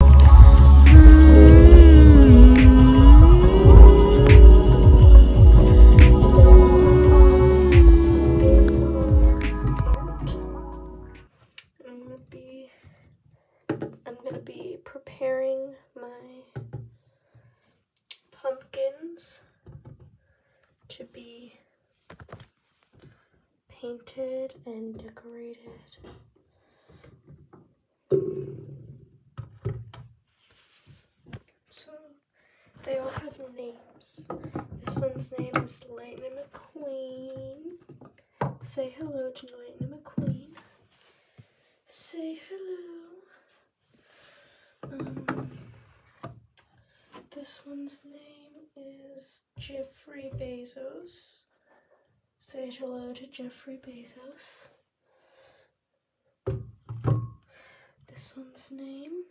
I'm gonna be, preparing my pumpkins to be painted and decorated so they all have names. This one's name is Lightning McQueen. Say hello to Lightning McQueen. Say hello. Um, this one's name is Jeffrey Bezos. Say hello to Jeffrey Bezos. This one's name.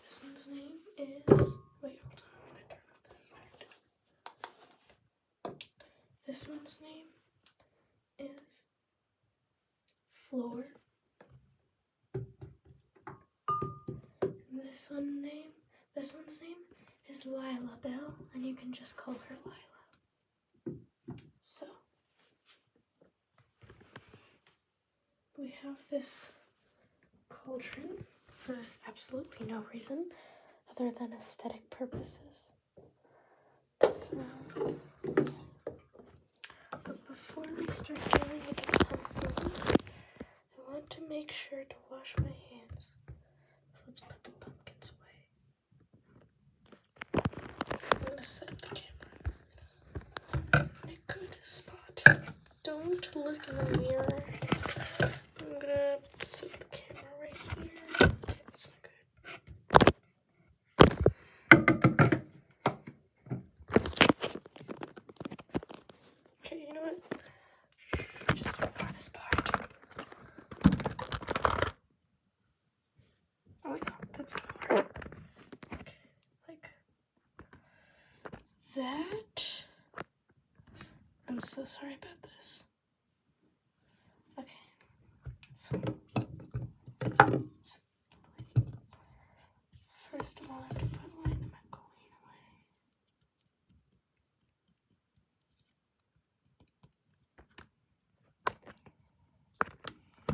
This one's name is. Wait, hold on. I'm to turn off this light. This one's name is Floor. this one's name this one's name is Lila Bell, and you can just call her Lila. So, we have this cauldron for absolutely no reason other than aesthetic purposes. So, but before we start doing it, I want to make sure to wash my hands let's put the pumpkins away. I'm gonna set the camera in good spot. Don't look in the mirror. I'm gonna set the camera right here. Okay, not good. Okay, you know what? Just ignore this part. Oh yeah, that's gonna work. like that. I'm so sorry about this. Okay, so, first of all, I have to put a line in my coin away.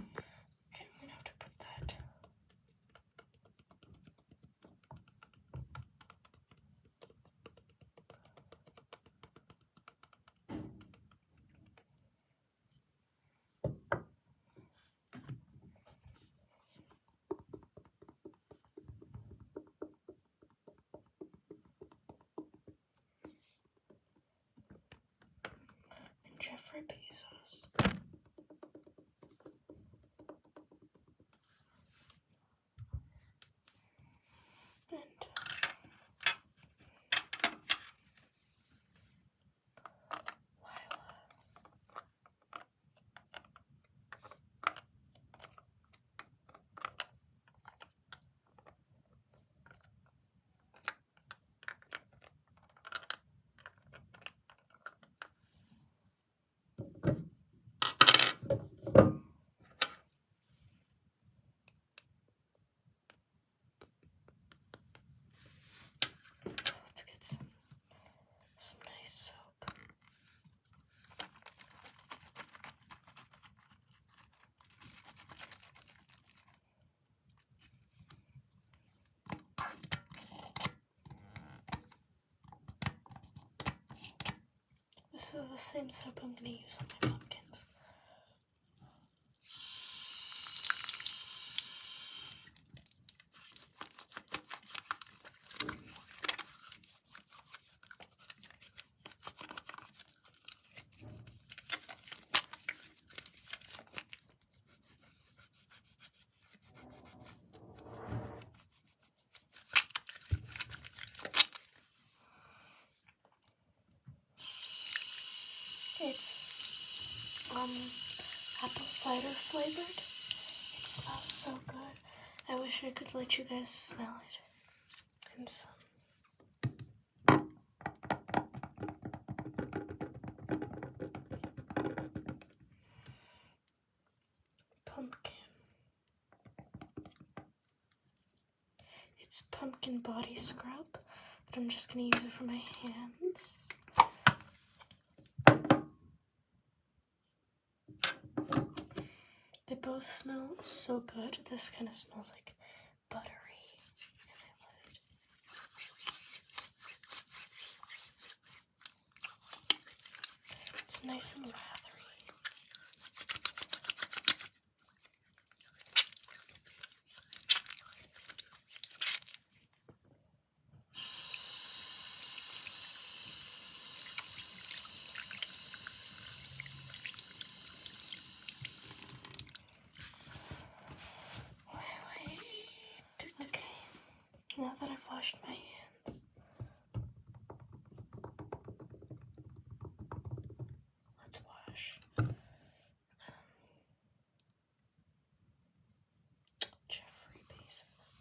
Okay, i have to put that. And Jeffrey Bezos. And Lila. So let's get some some nice soap. This is the same soap I'm going to use on my pumpkins. It's um apple cider flavored. It smells so good. I wish I could let you guys smell it pumpkin. It's pumpkin body scrub, but I'm just going to use it for my hands. They both smell so good. This kind of smells like buttery. It's nice and lathery. Okay, now that I've washed my hands, let's wash. Um, Jeffrey Bezos.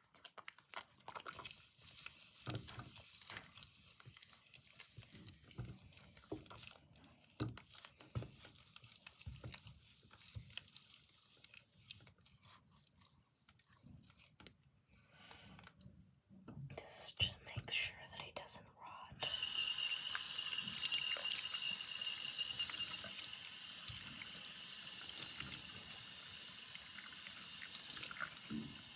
Just to make sure that he doesn't rot. Now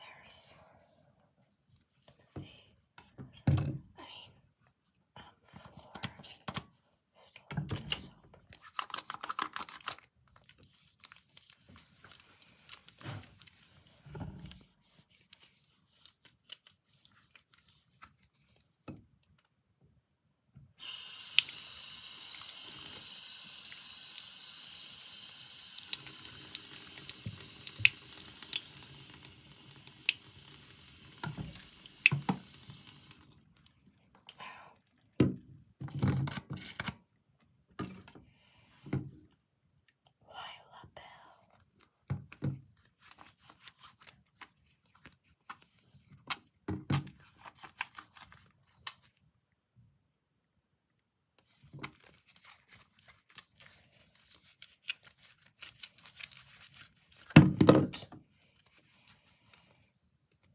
there's empathy. I mean, um, floor. Still have the soap. Lila Bell. Oops.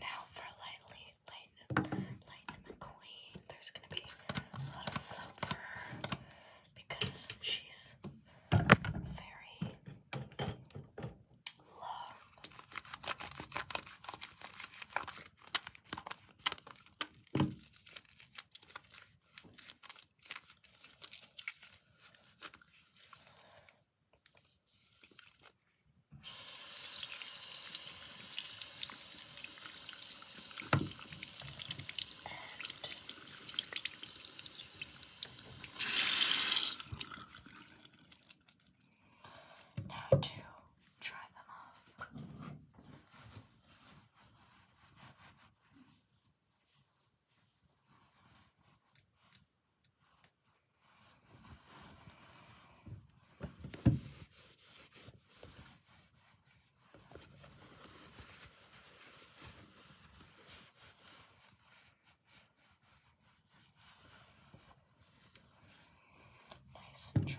Now for lightly, lightning, lightning McQueen. There's gonna be a lot of soap for her because she's very long. And now to try them off. Nice and dry.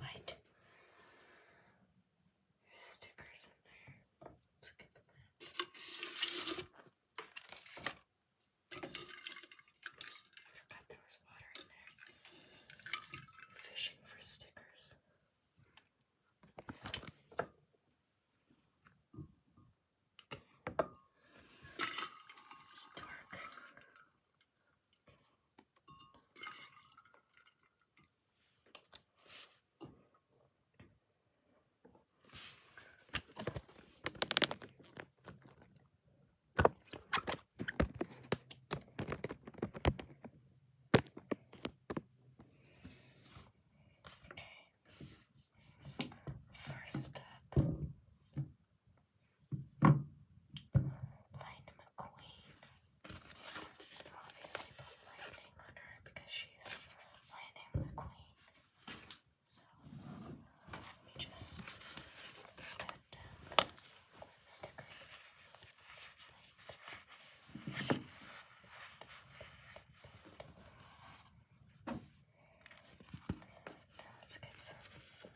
light. stickers in there. Let's get them I forgot there was water in there. fishing for stickers. It's dark. Okay. First step Lightning McQueen. You obviously put lightning on her because she's Lightning McQueen. So let me just get down uh, the stickers. Light. Now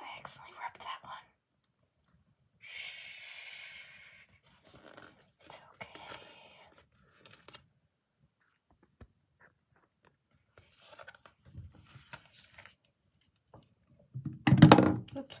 I accidentally ripped that one. It's okay. Oops.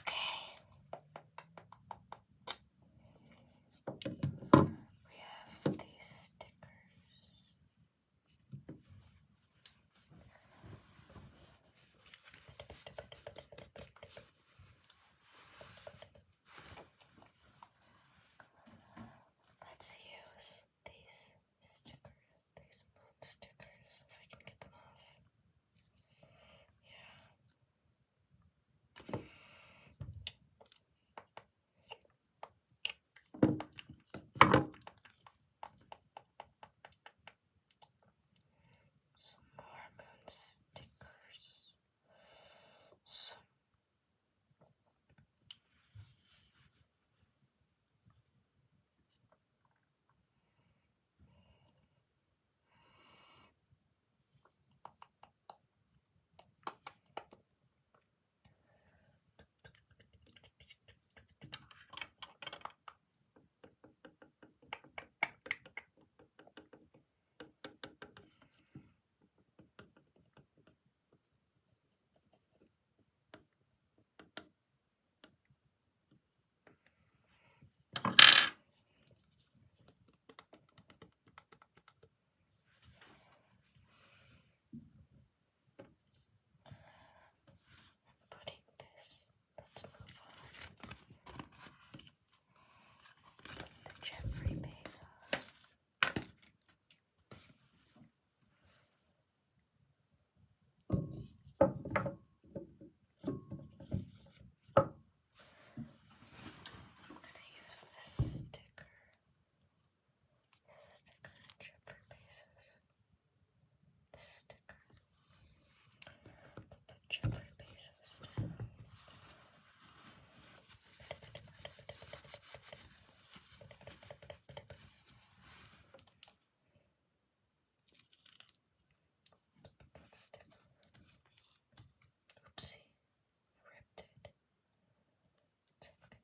Okay. We have these stickers. Let's use these stickers, these moon stickers, if I can get them off. Yeah. Some more moon stickers. Some Putting this Let's move on to Jeffrey Bezos. I'm gonna use this sticker. This sticker, Jeffrey Bezos the sticker. The picture by Bezos. That sticker. Oopsie, ripped it. It's okay.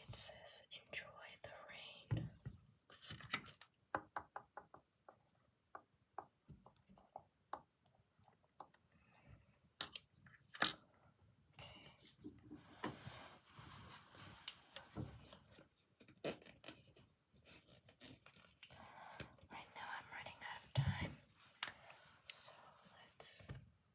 It says, enjoy the rain. Okay. Right now I'm running out of time, so let's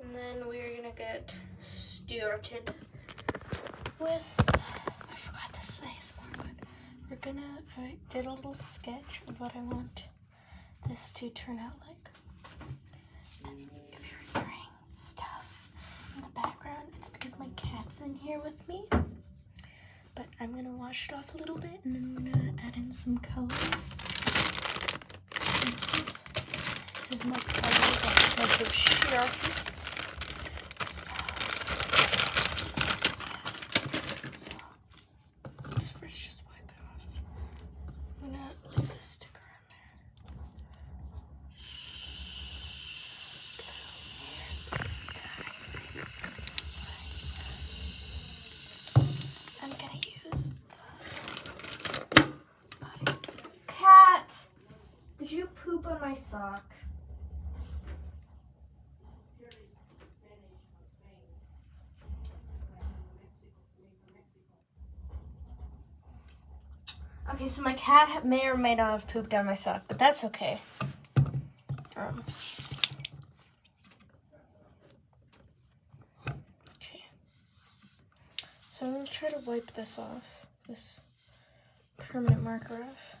And then we're gonna get started with, I forgot to say but we're gonna, I did a little sketch of what I want this to turn out like. And if you're hearing stuff in the background, it's because my cat's in here with me. But I'm gonna wash it off a little bit and then I'm gonna add in some colors. This is my colors. I have the sheriffs. So, yes. so, let's first just wipe it off. I'm gonna leave this sticker on there. I'm gonna use the Cat, did you poop on my sock? Okay, so my cat may or may not have pooped on my sock, but that's okay. Um. okay. So I'm going to try to wipe this off this permanent marker off.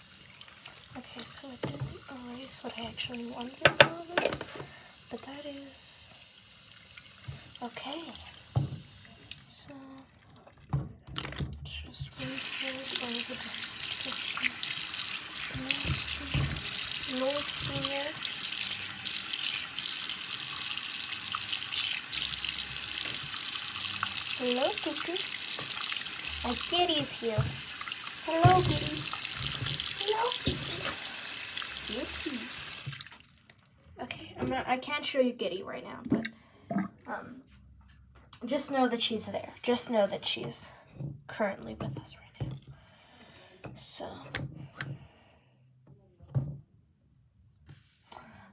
Okay, so I didn't erase what I actually wanted to erase, but that is okay. So just erase those over the section. No Hello, Cuckoo. My kitty here. Hello, kitty. Hello, kitty. Okay, I'm not, I can't show you Giddy right now, but um, just know that she's there. Just know that she's currently with us right now. So,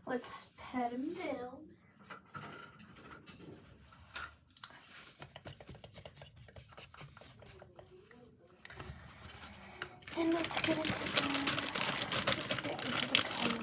let's pet him down. And let's get into the let's get into the color.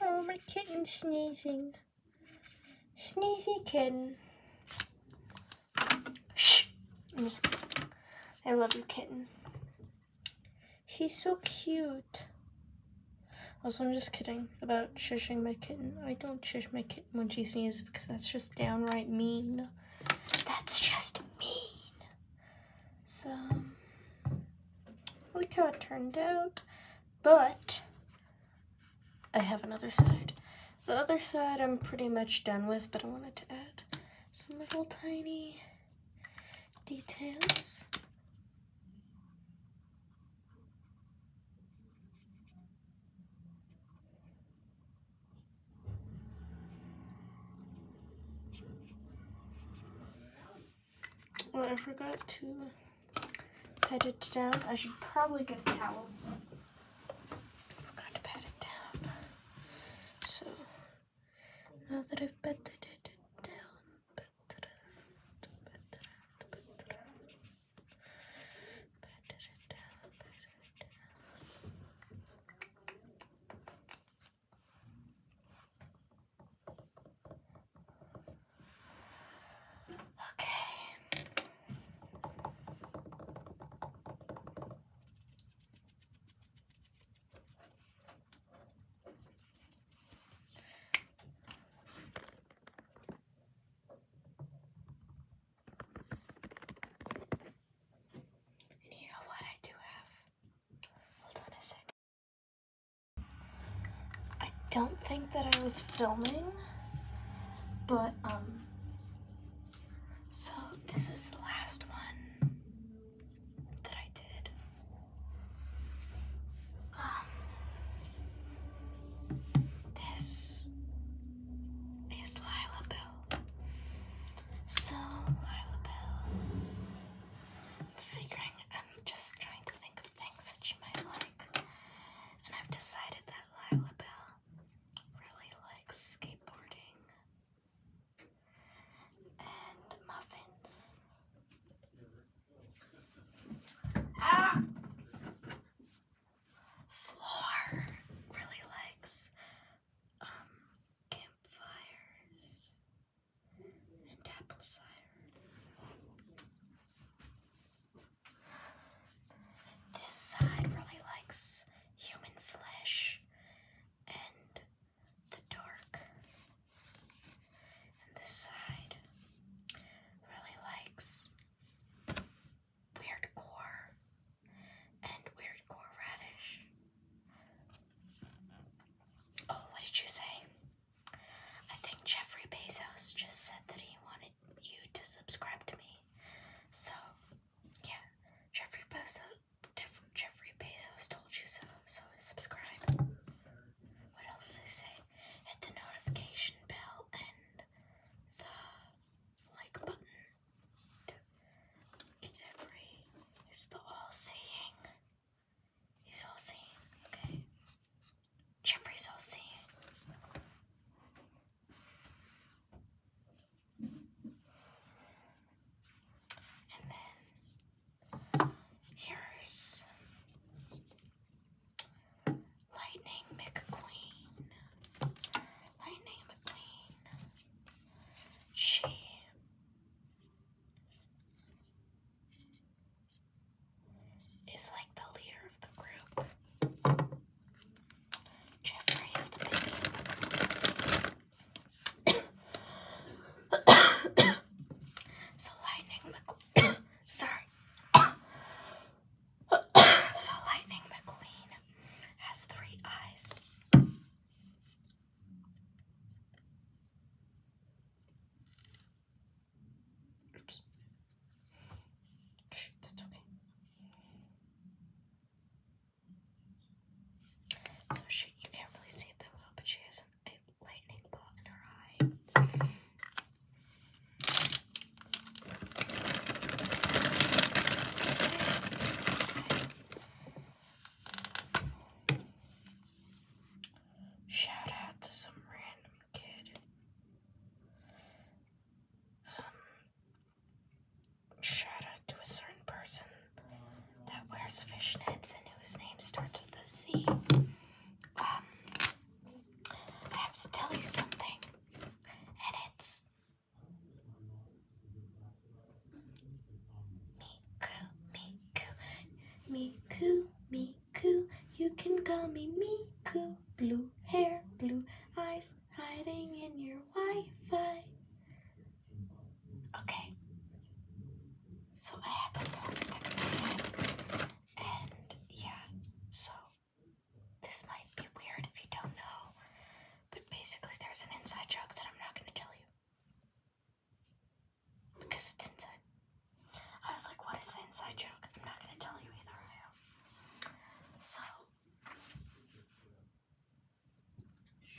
Oh, my kitten sneezing. Sneezy kitten. Shh! I'm just I love your kitten. She's so cute. Also, I'm just kidding about shushing my kitten. I don't shush my kitten when she sneezes because that's just downright mean. That's just mean. So, look how it turned out. But, I have another side. The other side I'm pretty much done with, but I wanted to add some little tiny details. Well, I forgot to pat it down. I should probably get a towel. Forgot to pat it down. So, now that I've patted it down, Pat it Okay you know what I do have? Hold on a second. I don't think that I was filming, but um so this is the last one that I did. Um this is Lila Bell. So Lila Bell, I'm figuring I'm just trying to think of things that she might like, and I've decided that Lila Bell really likes skateboarding and muffins. Ah! Floor really likes um, campfires and apple cider. This side really likes human flesh and the dark. this side really likes weird and weird radish. Oh, what did you say? I think Jeffrey Bezos just said that he wanted you to subscribe to me. So, yeah, Jeffrey Bezos, Jeffrey Bezos told you so. So subscribe. What else did they say? hit the notification bell and the like button. Every is the all-seeing. He's all-seeing. Okay. Jeffrey's all-seeing. And then here's Lightning McQueen. Lightning McQueen. She is like the leader of the group. Jeffrey is the baby. so Lightning McQueen. Sorry. so Lightning McQueen has three eyes. Oops. that's okay. So she, you can't really see it that well, but she has a lightning bolt in her eye. Shout out to some random kid. Um, shout out to a certain person that wears fishnets and whose name starts with a Z. Um, I have to tell you something, and it's Miku, Miku, Miku, Miku. You can call me Miku. Blue hair, blue eyes, hiding in your Wi-Fi. Okay. So I had that song stuck in my head, and yeah, so this might be weird if you don't know, but basically, there's an inside joke that I'm not going to tell you because it's inside. I was like, What is the inside joke? I'm not going to tell you either. I So, You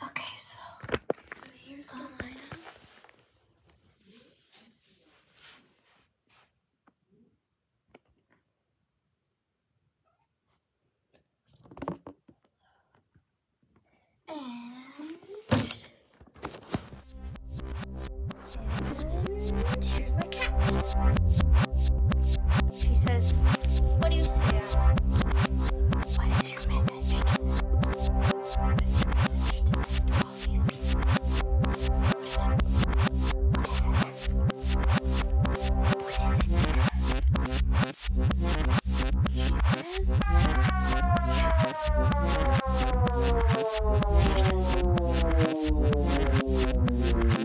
Okay, so so here's the um, lineup. and here's my cat. She says, What do you say? Uh, what is your message? What is your message to all these people? What is it? What is it? What is it?